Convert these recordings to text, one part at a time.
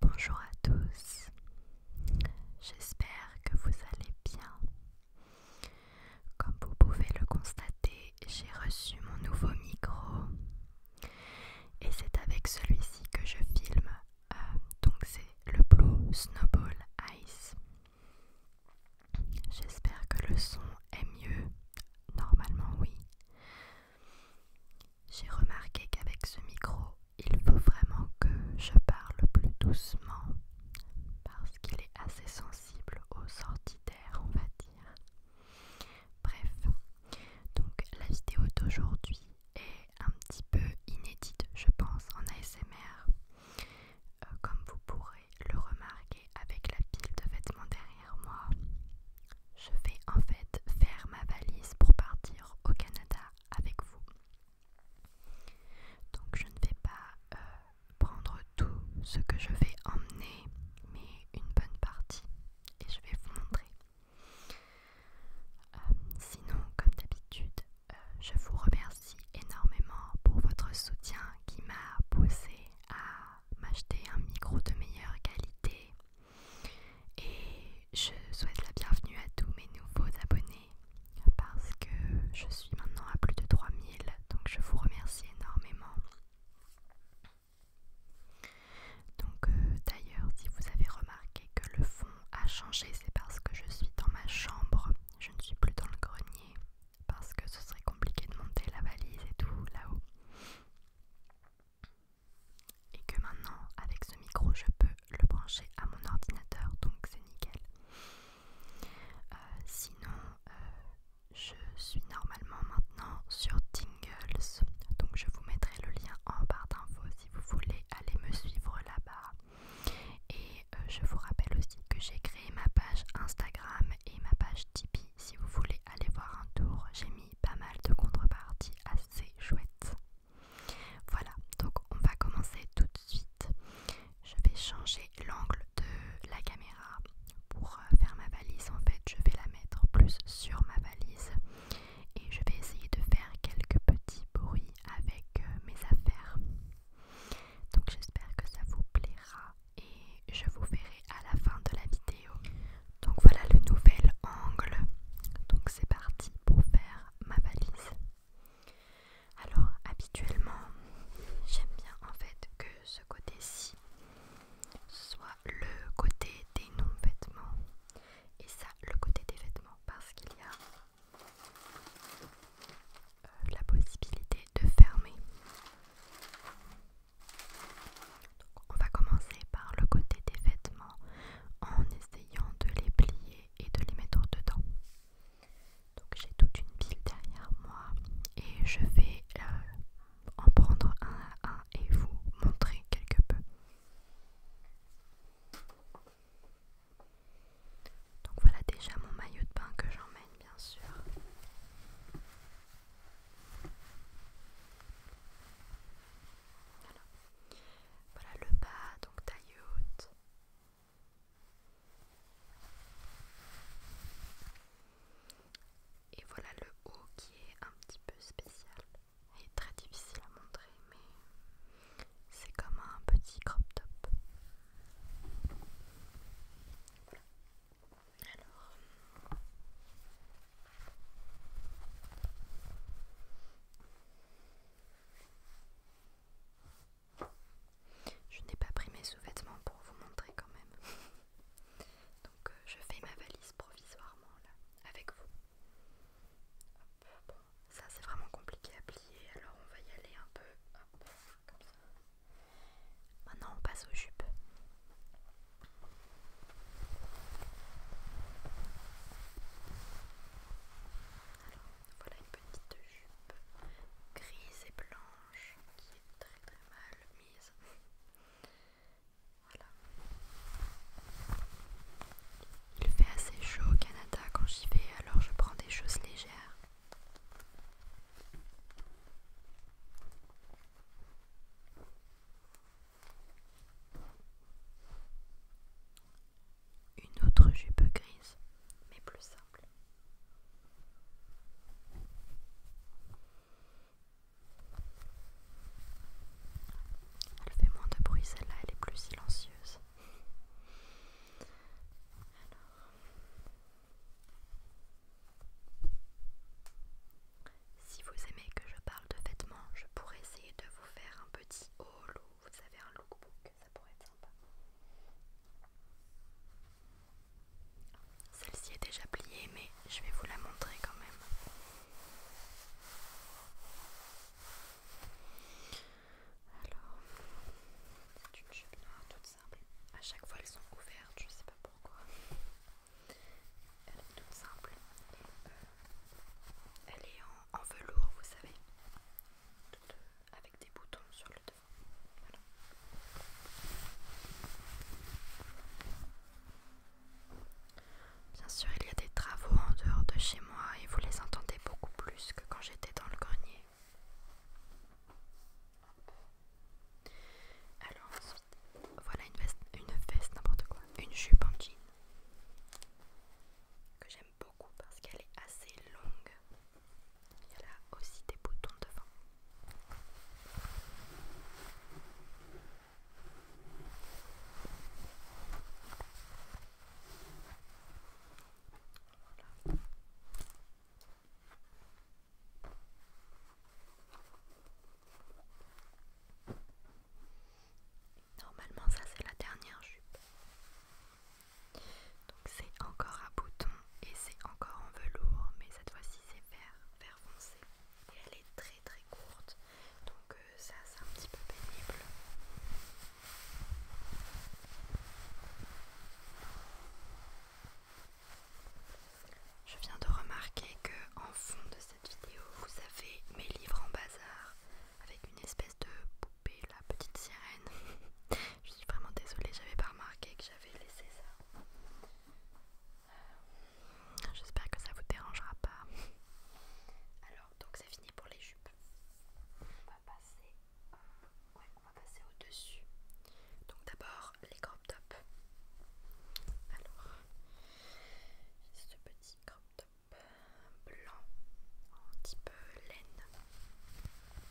Bonjour à tous, j'espère que vous allez bien. Comme vous pouvez le constater, j'ai reçu mon nouveau micro et c'est avec celui-ci que je filme. Euh, donc c'est le Blue Snowball Ice. J'espère que le son est mieux. Normalement oui. J'ai remarqué qu'avec ce micro, il faut vraiment que je parle plus doucement parce qu'il est assez sensible aux sorties d'air, on va dire. Bref, donc la vidéo d'aujourd'hui est un petit peu inédite, je pense, en ASMR, euh, comme vous pourrez le remarquer avec la pile de vêtements derrière moi. Je vais en fait faire ma valise pour partir au Canada avec vous. Donc je ne vais pas euh, prendre tout ce que je vais emmener, mais une bonne partie. Et je vais vous montrer. Euh, sinon, comme d'habitude, euh, je vous remercie énormément pour votre soutien qui m'a poussé à m'acheter un micro de meilleure qualité. Et je souhaite la bienvenue à tous mes nouveaux abonnés parce que je suis maintenant à plus de 3000 donc je vous remercie énormément. Donc euh, d'ailleurs si vous avez remarqué que le fond a changé c'est parce que je suis dans ma chambre, je ne suis plus dans le grenier parce que ce serait compliqué de monter la valise et tout là-haut. Et que maintenant avec ce micro je peux le brancher à mon ordinateur donc c'est nickel. Euh, sinon, euh, je suis normalement maintenant sur Tingles, donc je vous mettrai le lien en barre d'infos si vous voulez aller me suivre là-bas. Et euh, je vous rappelle aussi que j'ai créé ma page Instagram et ma page Tipeee si vous voulez aller voir un tour. J'ai mis pas mal de contreparties assez chouettes. Voilà, donc on va commencer tout de suite. Je vais changer l'angle de la caméra pour euh, faire ma valise. En fait, je vais la mettre plus sur ma valise et je vais essayer de faire quelques petits bruits avec euh, mes affaires. Donc j'espère que ça vous plaira et je vous verrai à la fin de la vidéo. Donc voilà le nouvel angle. Donc c'est parti pour faire ma valise. Alors habituellement, j'aime bien en fait que ce côté-ci soit le côté des non-vêtements et ça le côté des vêtements parce qu'il y a euh, la possibilité de fermer. Donc, on va commencer par le côté des vêtements en essayant de les plier et de les mettre dedans. Donc j'ai toute une pile derrière moi et je vais euh, en prendre un à un et vous montrer quelque peu. Donc voilà déjà mon maillot de bain que j'emmène bien sûr. Voilà. le bas, donc taille et voilà le haut qui est un petit peu spécial est très difficile à montrer, mais c'est comme un petit crop top. Je n'ai pas pris mes sous-vêtements pour vous montrer quand même. Donc euh, je fais ma valise provisoirement là, avec vous. ça c'est vraiment compliqué à plier, alors on va y aller un peu. comme ça. Maintenant on passe aux jupes. Alors voilà une petite jupe grise et blanche qui est très très mal mise. voilà. Il fait assez chaud au Canada quand j'y vais, alors je prends des choses légères. Une autre jupe grise, mais plus ça. Elle fait moins de bruit celle-là, elle est plus silencieuse. si vous aimez que je parle de vêtements, je pourrais essayer de vous faire un petit haul vous avez un lookbook, ça pourrait être sympa. Celle-ci est déjà pliée, mais je vais vous la montrer quand même. Alors, c'est une jupe toute simple. À chaque fois, elles sont ouvertes, je sais pas pourquoi. Elle est toute simple. Euh, elle est en, velours, vous savez, euh, avec des boutons sur le devant. Bien sûr, il y a des travaux en dehors de chez moi et vous les entendez beaucoup plus que quand j'étais dans le grenier. Alors ensuite, voilà une veste, une veste n'importe quoi, une jupe en jean que j'aime beaucoup parce qu'elle est assez longue il y a là aussi des boutons devant. Normalement ça c'est la dernière jupe. Donc c'est encore à bouton et c'est encore en velours, mais cette fois-ci c'est vert, vert foncé. Et elle est très très courte, donc euh, ça c'est un petit peu pénible. Je viens de remarquer que en fond de cette vidéo, vous avez mes livres en bazar avec une espèce de poupée, la petite sirène. Je suis vraiment désolée, j'avais pas remarqué que j'avais laissé ça. Euh, j'espère que ça vous dérangera pas. Alors, donc c'est fini pour les jupes. On va passer, au-dessus. Donc d'abord les crop tops. Alors, j'ai ce petit crop top blanc petit peu laine que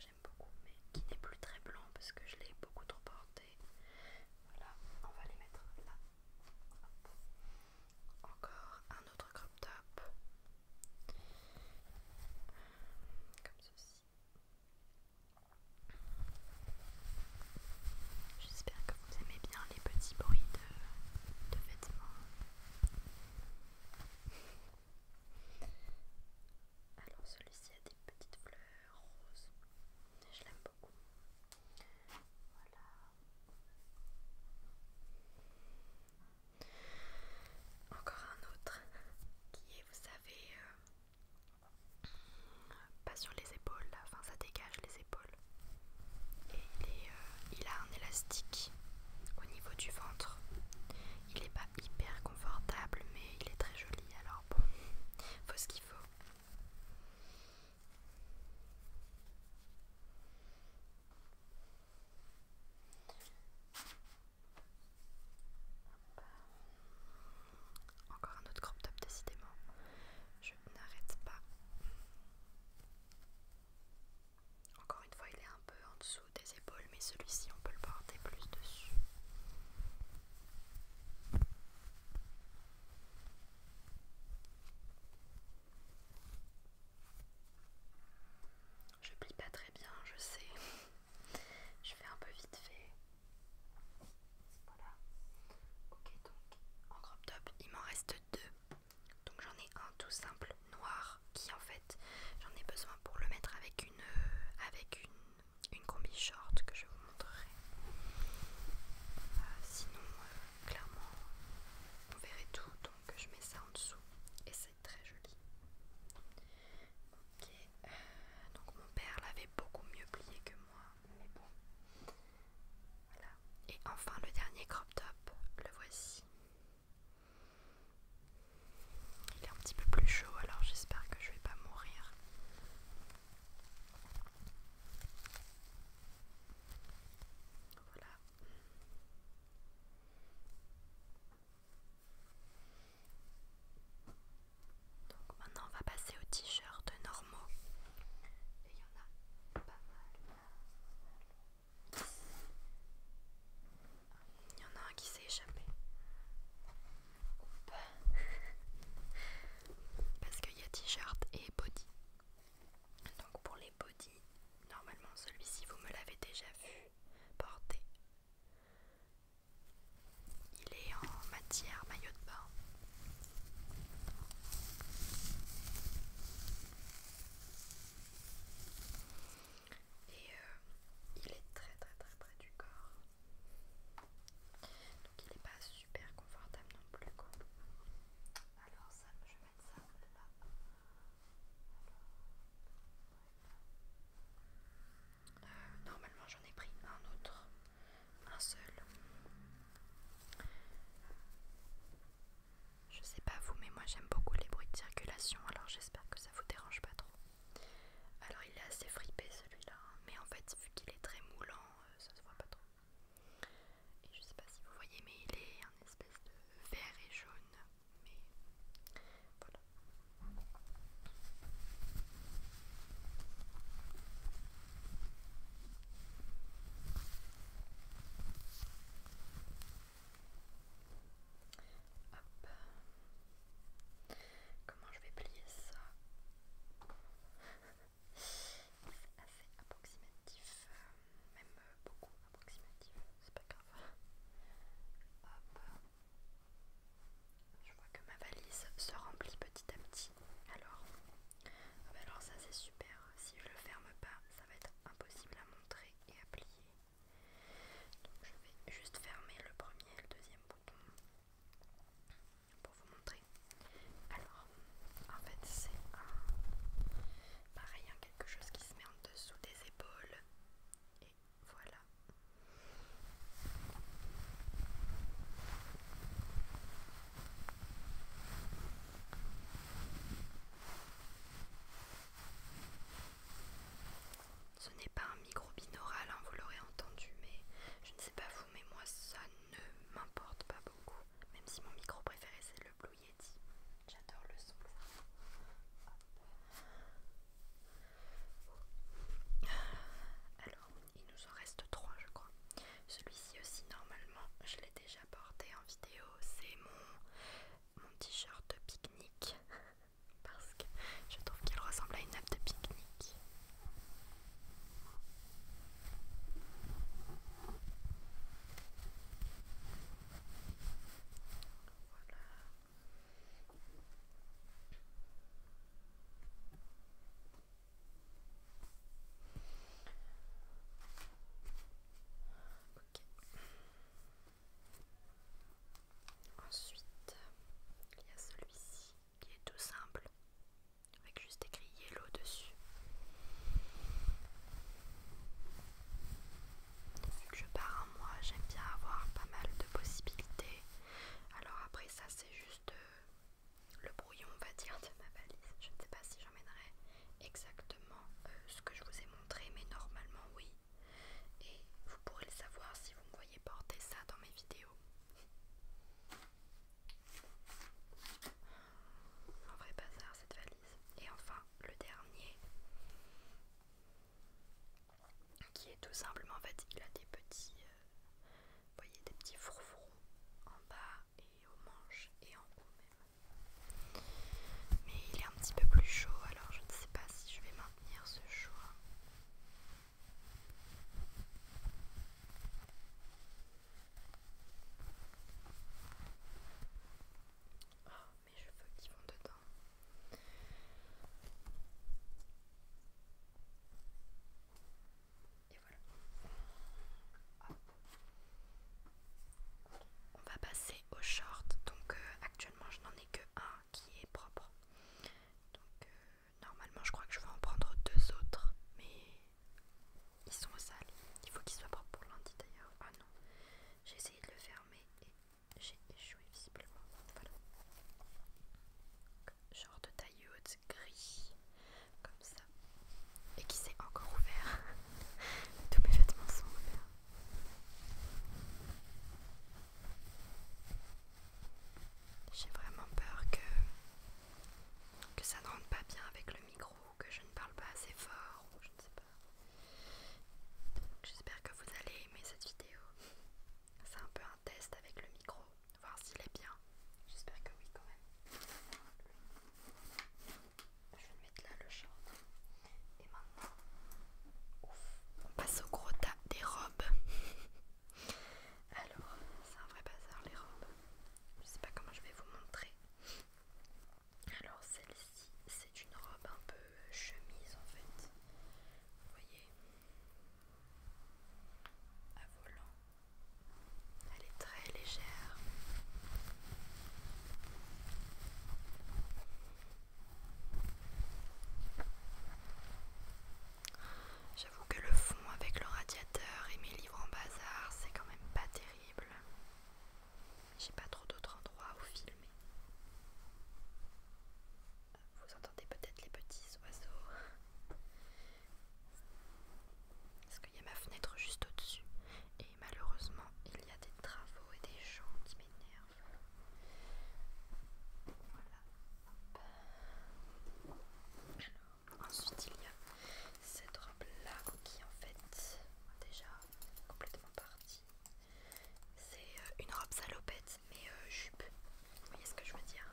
j'aime beaucoup mais qui n'est plus très blanc parce que je l'ai beaucoup trop porté voilà on va les mettre là encore un autre crop top comme ceci J'espère que vous aimez bien les petits bruits de, vêtements. Alors celui-ci a des petites fleurs roses. je l'aime beaucoup. Voilà. Encore un autre qui est, vous savez, euh, pas sur les épaules, enfin ça dégage les épaules. Et euh, il, a un élastique au niveau du ventre. Il n'est pas hyper confortable, mais il est très joli. Alors bon, faut ce qu'il faut. Encore un autre crop top, décidément. Je n'arrête pas. Encore une fois, il est un peu en dessous des épaules, mais celui-ci, on peut le porter plus dessus. Je plie pas très bien, je sais. je fais un peu vite fait. Voilà. Ok donc en crop top il m'en reste deux. Donc j'en ai un tout simple noir qui en fait j'en ai besoin pour le mettre avec une euh, avec une, combi short que je vous montrerai. Euh, sinon euh, clairement on verrait tout donc je mets ça en dessous et c'est très joli. Ok, donc mon père l'avait beaucoup mieux plié que moi, mais bon, voilà. Et enfin le dernier crop top, le voici. Il est un petit peu plus chaud, alors j'espère que je vais pas mourir. Voilà. Donc maintenant on va passer aux t-shirts normaux. Et il y en a pas mal. Il y en a un qui s'est échappé. Parce qu'il y a t-shirt et body. Donc pour les body, normalement celui-ci vous me l'avez déjà vu porter. Il est en matière maillot de bain. Et euh, il est très très très près du corps. Donc il n'est pas super confortable non plus Alors ça, je vais mettre ça là. Euh, normalement j'en ai pris un autre un seul. Je sais pas vous, mais moi j'aime beaucoup les bruits de circulation, alors j'espère que ça vous dérange pas trop. Alors il est assez fripé celui-là, hein. mais en fait vu qu'il est très moulant, euh, ça se voit pas trop. Et je sais pas si vous voyez, mais il est un espèce de vert et jaune, mais voilà. Hop. Comment je vais plier ça C'est assez approximatif, euh, même euh, beaucoup approximatif, c'est pas grave. Hop. Je vois que ma valise se remplit petit à petit. Alors, ah bah alors ça c'est super. Si je le ferme pas, ça va être impossible à montrer et à plier. Donc je vais juste fermer le premier et le deuxième bouton pour vous montrer. Alors, en fait c'est un pareil, hein, quelque chose qui se met en dessous des épaules. Et voilà. Ce n'est pas un micro binaural, hein, vous l'aurez entendu, mais je ne sais pas vous, mais moi ça ne m'importe pas beaucoup. Même si mon micro préféré c'est le Blue Yeti. J'adore le son. Alors, il nous en reste trois, je crois. Celui-ci aussi, normalement, je l'ai déjà porté en vidéo. C'est mon, mon t-shirt de pique-nique. Parce que je trouve qu'il ressemble à une nappe de pique-nique. Voilà. Ensuite, il y a celui-ci qui est tout simple, avec juste écrit yellow dessus. je pars en moi j'aime bien avoir pas mal de possibilités. Alors après ça c'est juste euh, le brouillon, on va dire, de ma valise. Je ne sais pas si j'emmènerai exactement euh, ce que je vous ai montré, mais normalement oui. Et vous pourrez le savoir si vous me voyez porter ça dans mes vidéos. Un vrai bazar cette valise. Et enfin, le dernier, qui est tout simplement, en fait, il a des petits, euh, voyez, des petits en bas et aux manches et en haut même. Mais il est un petit peu plus chaud, alors je ne sais pas si je vais maintenir ce choix. Oh, mais je cheveux qui vont dedans. Et voilà. On va passer aux shorts. Donc euh, actuellement je n'en ai que un qui est propre. Donc euh, normalement je crois que je vais en prendre deux autres. Mais ils sont sales. Il faut qu'ils soient propres pour lundi d'ailleurs. Ah non. J'ai essayé de le fermer et j'ai échoué visiblement. Voilà. Genre de taille haute, gris comme ça et qui s'est encore ouvert. Tous mes vêtements sont ouverts. J'ai vraiment peur que, que ça ne rentre pas bien avec le micro, que je ne parle pas assez fort ou je ne sais pas. J'espère que vous allez aimer cette vidéo. C'est un peu un test avec le micro voir s'il est bien. J'espère que oui quand même. Je vais le mettre là le short. Et maintenant, ouf, on passe au gros tas des robes. Alors, c'est un vrai bazar les robes. Je sais pas comment je vais vous montrer. Alors celle-ci, c'est une robe un peu chemise en fait. Vous voyez à volant elle est très légère. J'avoue que le fond avec le radiateur et mes livres en bazar, c'est quand même pas terrible. J'ai pas trop d'autres endroits où filmer. Vous entendez peut-être les petits oiseaux. Parce qu'il y a ma fenêtre juste au-dessus. Et malheureusement, il y a des travaux et des gens qui m'énervent. Voilà. Alors, ensuite, il y a cette robe-là qui, en fait, déjà complètement partie. C'est euh, une robe salopette, mais euh, jupe. Vous voyez ce que je veux dire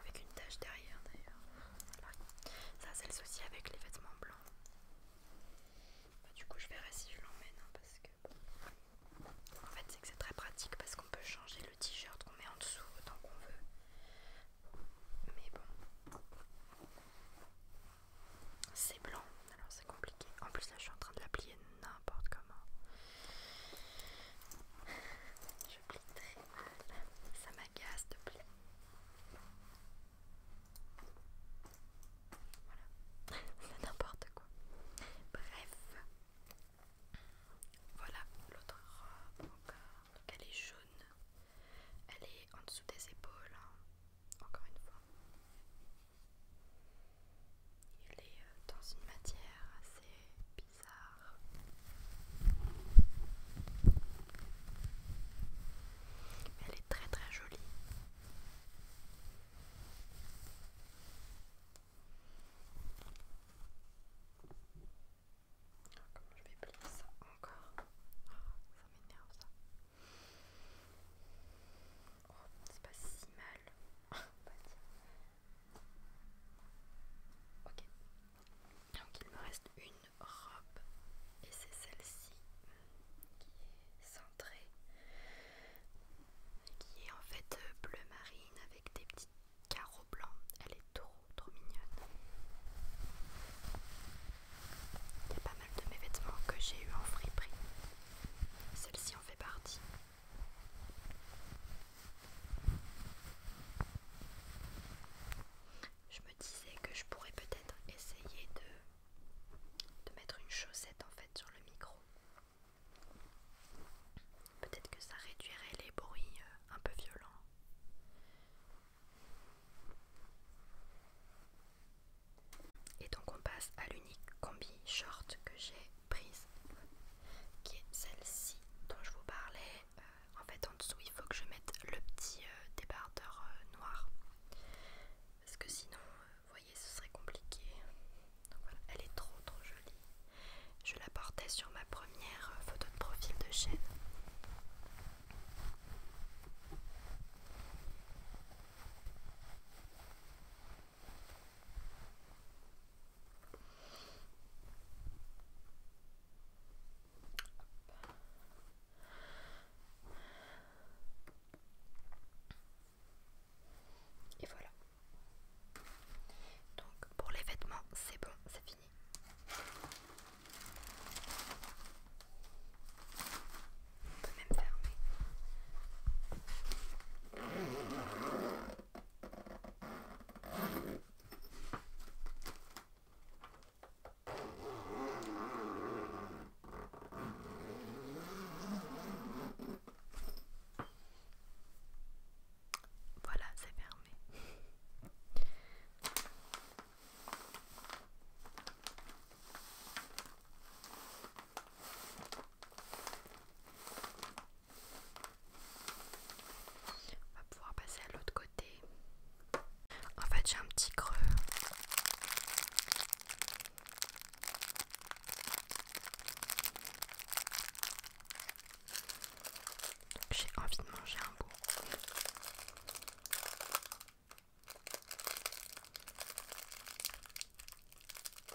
avec une tache derrière d'ailleurs. Ça c'est le souci avec les vêtements blancs. Bah, du coup je verrai si je l'emmène hein, parce que En fait c'est que c'est très pratique parce qu'on peut changer le t-shirt qu'on met en dessous autant qu'on veut. Mais bon. C'est blanc, alors c'est compliqué. En plus là je suis en train de la plier. Non, n'importe comment. Je plie très mal. Ça m'agace de plaît Voilà. C'est n'importe quoi. Bref. Voilà l'autre robe encore. Euh, elle est jaune. Elle est en dessous des épaules. Hein. Encore une fois. Il est euh, dans une matière assez bizarre. Mais elle est très très jolie. Ah, comment je vais plier ça encore ah, Ça m'énerve ça. Oh, c'est pas si mal. Ok, donc il me reste une robe et c'est celle-ci qui est centrée, qui est en fait euh, bleu marine avec des petits carreaux blancs. Elle est trop trop mignonne. Il y a pas mal de mes vêtements que j'ai eu en friperie. Celle-ci en fait partie. Je me disais que je pourrais peut-être essayer de, mettre une chaussette en fait sur le micro. Peut-être que ça réduirait les bruits euh, un peu violents. Et donc on passe à l'unique combi short que j'ai prise qui est celle-ci dont je vous parlais. Euh, en fait en dessous il faut que je mette le petit euh, débardeur euh, noir parce que sinon vous voyez ce serait compliqué. elle est trop trop jolie. Je la portais sur ma première photo de profil de chaîne. Et voilà. Donc pour les vêtements, c'est bon, c'est fini. On peut même fermer. Voilà, c'est fermé. On va pouvoir passer à l'autre côté. En fait, j'ai un petit creux. J'ai envie de manger un bout.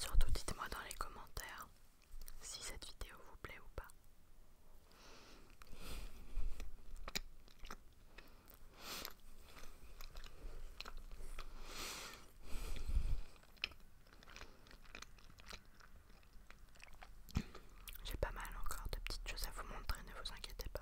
Surtout dites-moi dans les commentaires si cette vidéo vous plaît ou pas. J'ai pas mal encore de petites choses à vous montrer, ne vous inquiétez pas.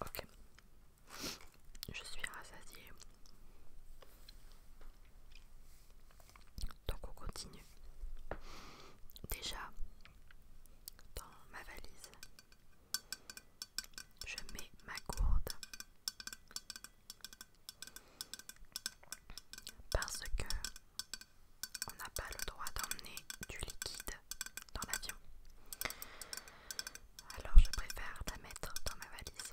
Ok, je suis rassasiée. Donc on continue. Déjà, dans ma valise. Je mets ma gourde parce que on n'a pas le droit d'emmener du liquide dans l'avion. Alors je préfère la mettre dans ma valise.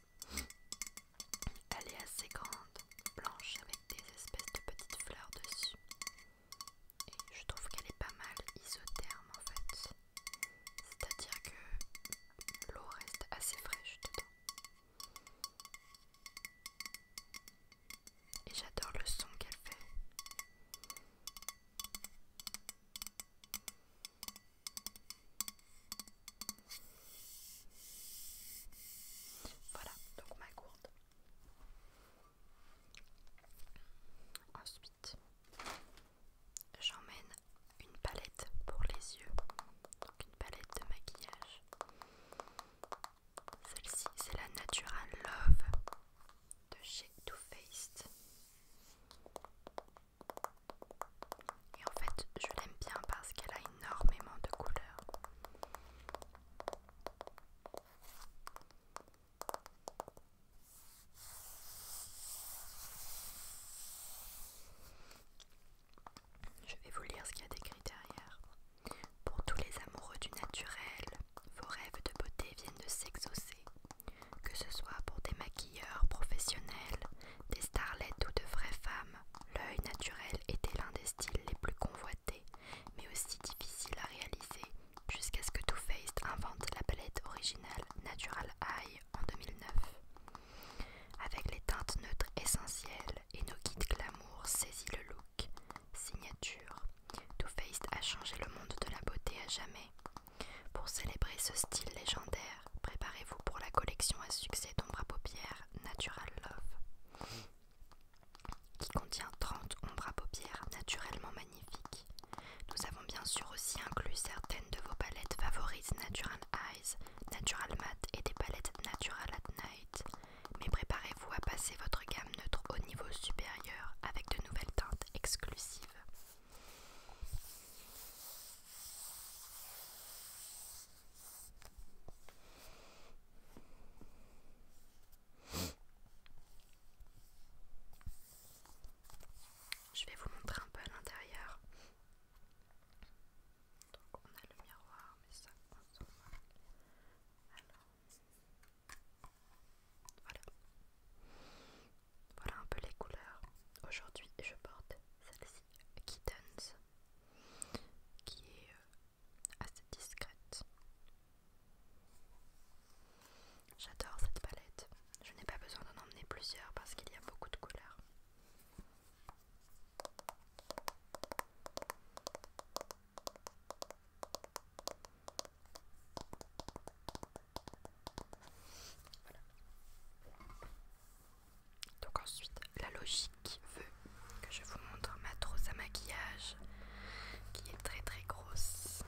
Elle est assez grande, blanche avec des espèces de petites fleurs dessus. Et je trouve qu'elle est pas mal isotherme en fait. C'est-à-dire que l'eau reste assez fraîche dedans. Et j'adore le son qu'elle fait. Voilà, donc ma gourde. Ensuite, j'emmène une palette pour les yeux. Donc une palette de maquillage. Celle-ci, c'est la Natural Love de chez Too Faced. Et en fait, je l'aime bien parce qu'elle a énormément de couleurs. Je vais vous lire ce qu'il y a d'écrit derrière. Pour tous les amoureux du naturel, vos rêves de beauté viennent de s'exaucer. Que ce soit pour des maquilleurs professionnels, des starlettes ou de vraies femmes, l'œil naturel était l'un des styles les plus convoités, mais aussi difficile à réaliser, jusqu'à ce que Too Faced invente la palette originale Natural Eye en 2009. Avec les teintes neutres essentielles et nos guides glamour saisit le look, signature. Too Faced a changé le monde de la beauté à jamais. Pour célébrer ce style légendaire, préparez-vous pour la collection à succès d'ombre à paupières Natural Love qui contient 30 ombres à paupières naturellement magnifiques. Nous avons bien sûr aussi inclus certaines de vos palettes favorites Natural Eyes, Natural Matte et des palettes Natural at Night. Mais préparez-vous à passer votre gamme neutre au niveau supérieur avec de nouvelles teintes exclusives. Je vais vous montrer un peu à l'intérieur. Donc on a le miroir, mais ça on Alors voilà. Voilà un peu les couleurs. Aujourd'hui je porte celle-ci Kittens qui est euh, assez discrète. J'adore cette palette. Je n'ai pas besoin d'en emmener plusieurs parce qu'il y a beaucoup de couleurs. Donc ensuite, la logique veut que je vous montre ma trousse à maquillage qui est très très grosse.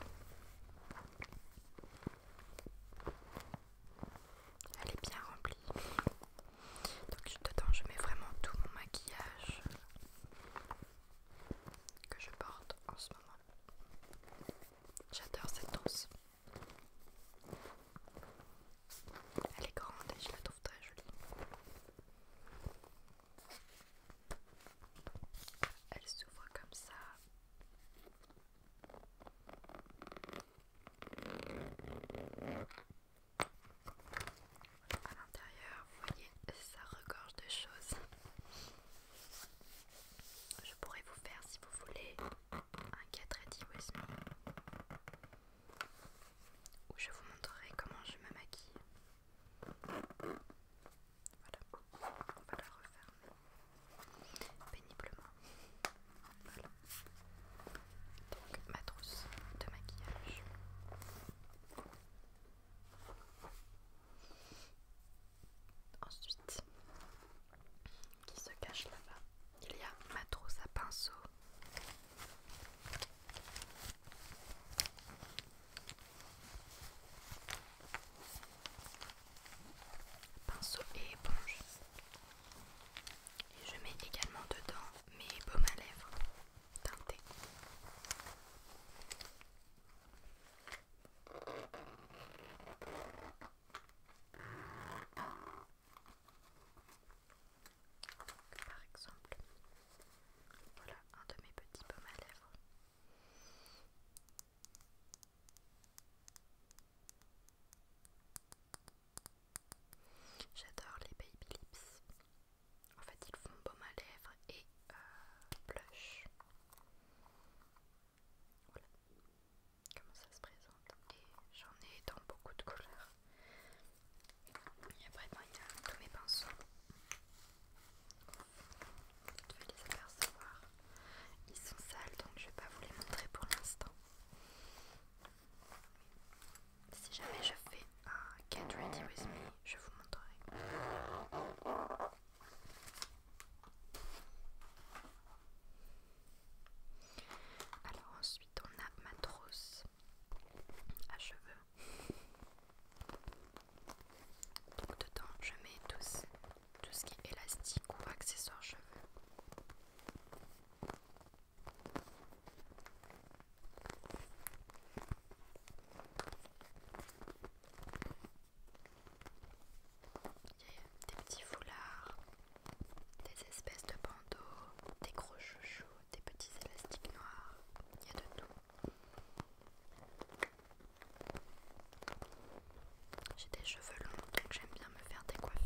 Elle est bien remplie. Donc dedans, je mets vraiment tout mon maquillage que je porte en ce moment. J'adore cette trousse. Elle est grande et je la trouve très jolie. Elle s'ouvre comme ça. À l'intérieur, vous voyez, ça regorge de choses. Je pourrais vous faire, si vous voulez, un 4 ready où je vous montrerai comment je me maquille. Voilà, on va la refermer péniblement. Voilà. Donc ma trousse de maquillage. Ensuite, qui se cache là-bas, il y a ma trousse à pinceau Pinceau et éponge. Et je mets également dedans mes baumes à lèvres teintés par exemple, voilà un de mes petits baumes à lèvres. J'adore les baby lips. En fait, ils font baume à lèvres et euh, blush. Voilà comment ça se présente. Et j'en ai dans beaucoup de couleurs après, Il y a tous mes pinceaux. Vous vais les apercevoir. Ils sont sales donc je ne vais pas vous les montrer pour l'instant. Si jamais je fais un Get Ready With Me, je vous montrerai. Alors on a ma trousse à cheveux. Donc dedans je mets tout ce, tout ce qui est élastique ou accessoire cheveux. Il y a des petits foulards, des espèces de bandeaux, des gros chouchous des petits élastiques noirs, il y a de tout. J'ai des cheveux longs donc j'aime bien me faire des coiffures.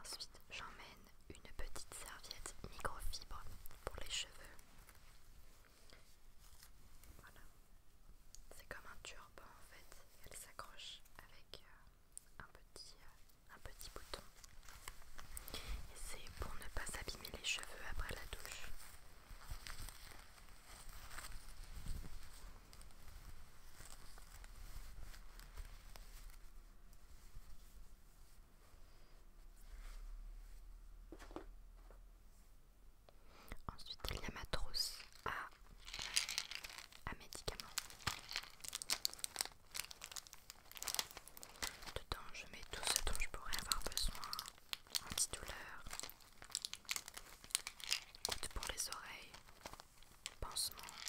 Ensuite, j'emmène une petite serviette microfibre pour les cheveux. Voilà. C'est comme un turban en fait. Elle s'accroche avec euh, un petit, euh, un petit bouton. Et c'est pour ne pas s'abîmer les cheveux après la douche. Ensuite, il y a ma trousse à, à médicaments. Dedans, je mets tout ce dont je pourrais avoir besoin antidouleur, gouttes pour les oreilles, pansements,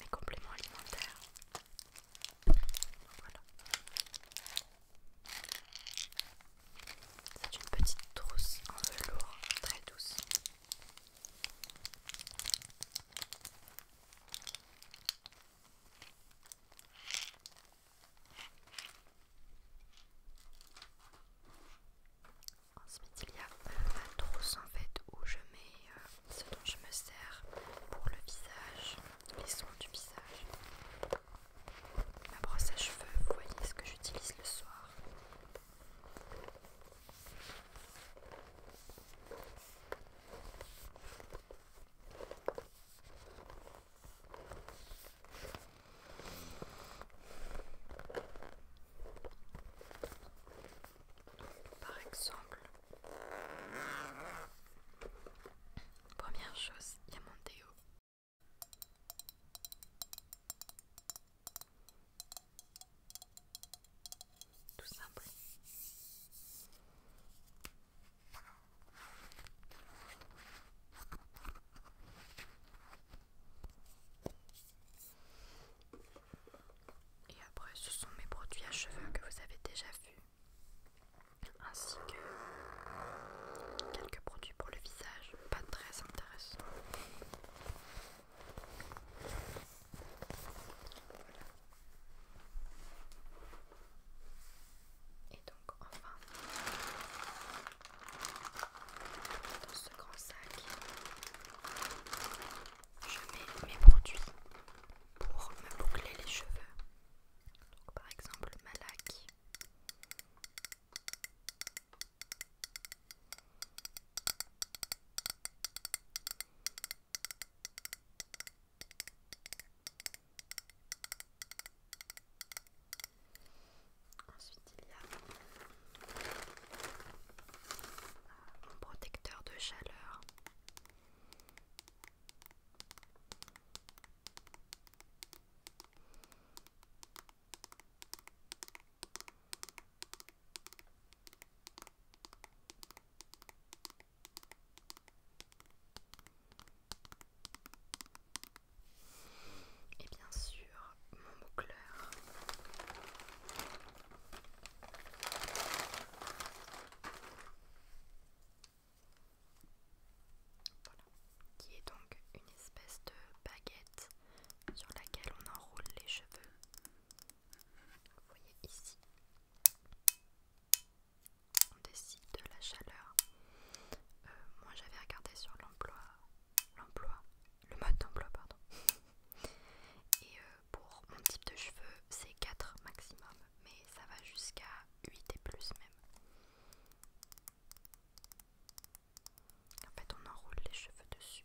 mes compléments alimentaires. Voilà. C'est une petite trousse en velours très douce. Ensuite, il y a la trousse en fait où je mets euh, ce dont je me sers pour le visage, les soins du visage. Ma brosse à cheveux, vous voyez ce que j'utilise le soir. Par exemple, première chose, il y a mon déo. Tout simple. Et après, ce sont mes produits à cheveux que vous avez déjà vus, ainsi que quelques produits pour le visage, pas très intéressants. Et donc enfin, dans ce grand sac, je mets mes produits pour me boucler les cheveux. par exemple ma laque. Ensuite, il y a mon euh, protecteur de chaleur. Et bien sûr, mon boucleur. qui est donc une espèce de baguette sur laquelle on enroule les cheveux vous voyez ici, on décide de la chaleur. Euh, moi j'avais regardé sur l'emploi, l'emploi, le mode d'emploi, pardon. Et euh, pour mon type de cheveux, c'est 4 maximum, mais ça va jusqu'à 8 et plus même. En fait, on enroule les cheveux dessus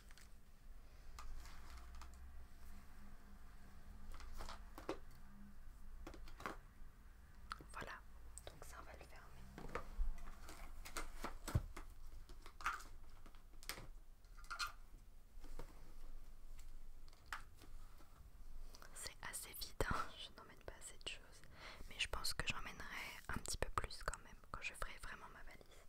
Voilà, donc ça on va le fermer. C'est assez vide, hein. je n'emmène pas assez de choses, mais je pense que j'emmènerai un petit peu plus quand même quand je ferai vraiment ma valise.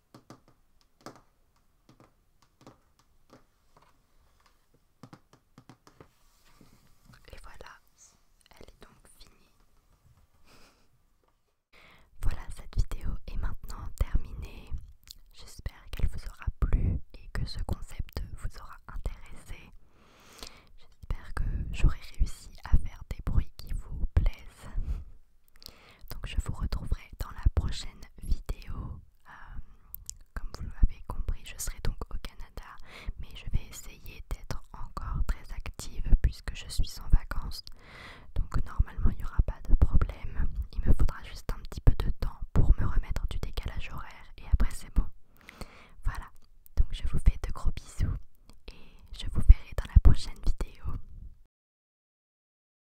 Et voilà, elle est donc finie. voilà, cette vidéo est maintenant terminée. J'espère qu'elle vous aura plu et que ce concept vous aura intéressé. J'espère que j'aurai réussi à faire des bruits qui vous plaisent. Donc je vous retrouverai dans la prochaine vidéo. Euh, comme vous l'avez compris, je serai donc au Canada, mais je vais essayer d'être encore très active puisque je suis en vacances. Donc normalement il n'y aura pas de problème. Il me faudra juste un petit peu de temps pour me remettre du décalage horaire et après c'est bon. Voilà, donc je vous fais de gros bisous et je vous verrai dans la prochaine vidéo.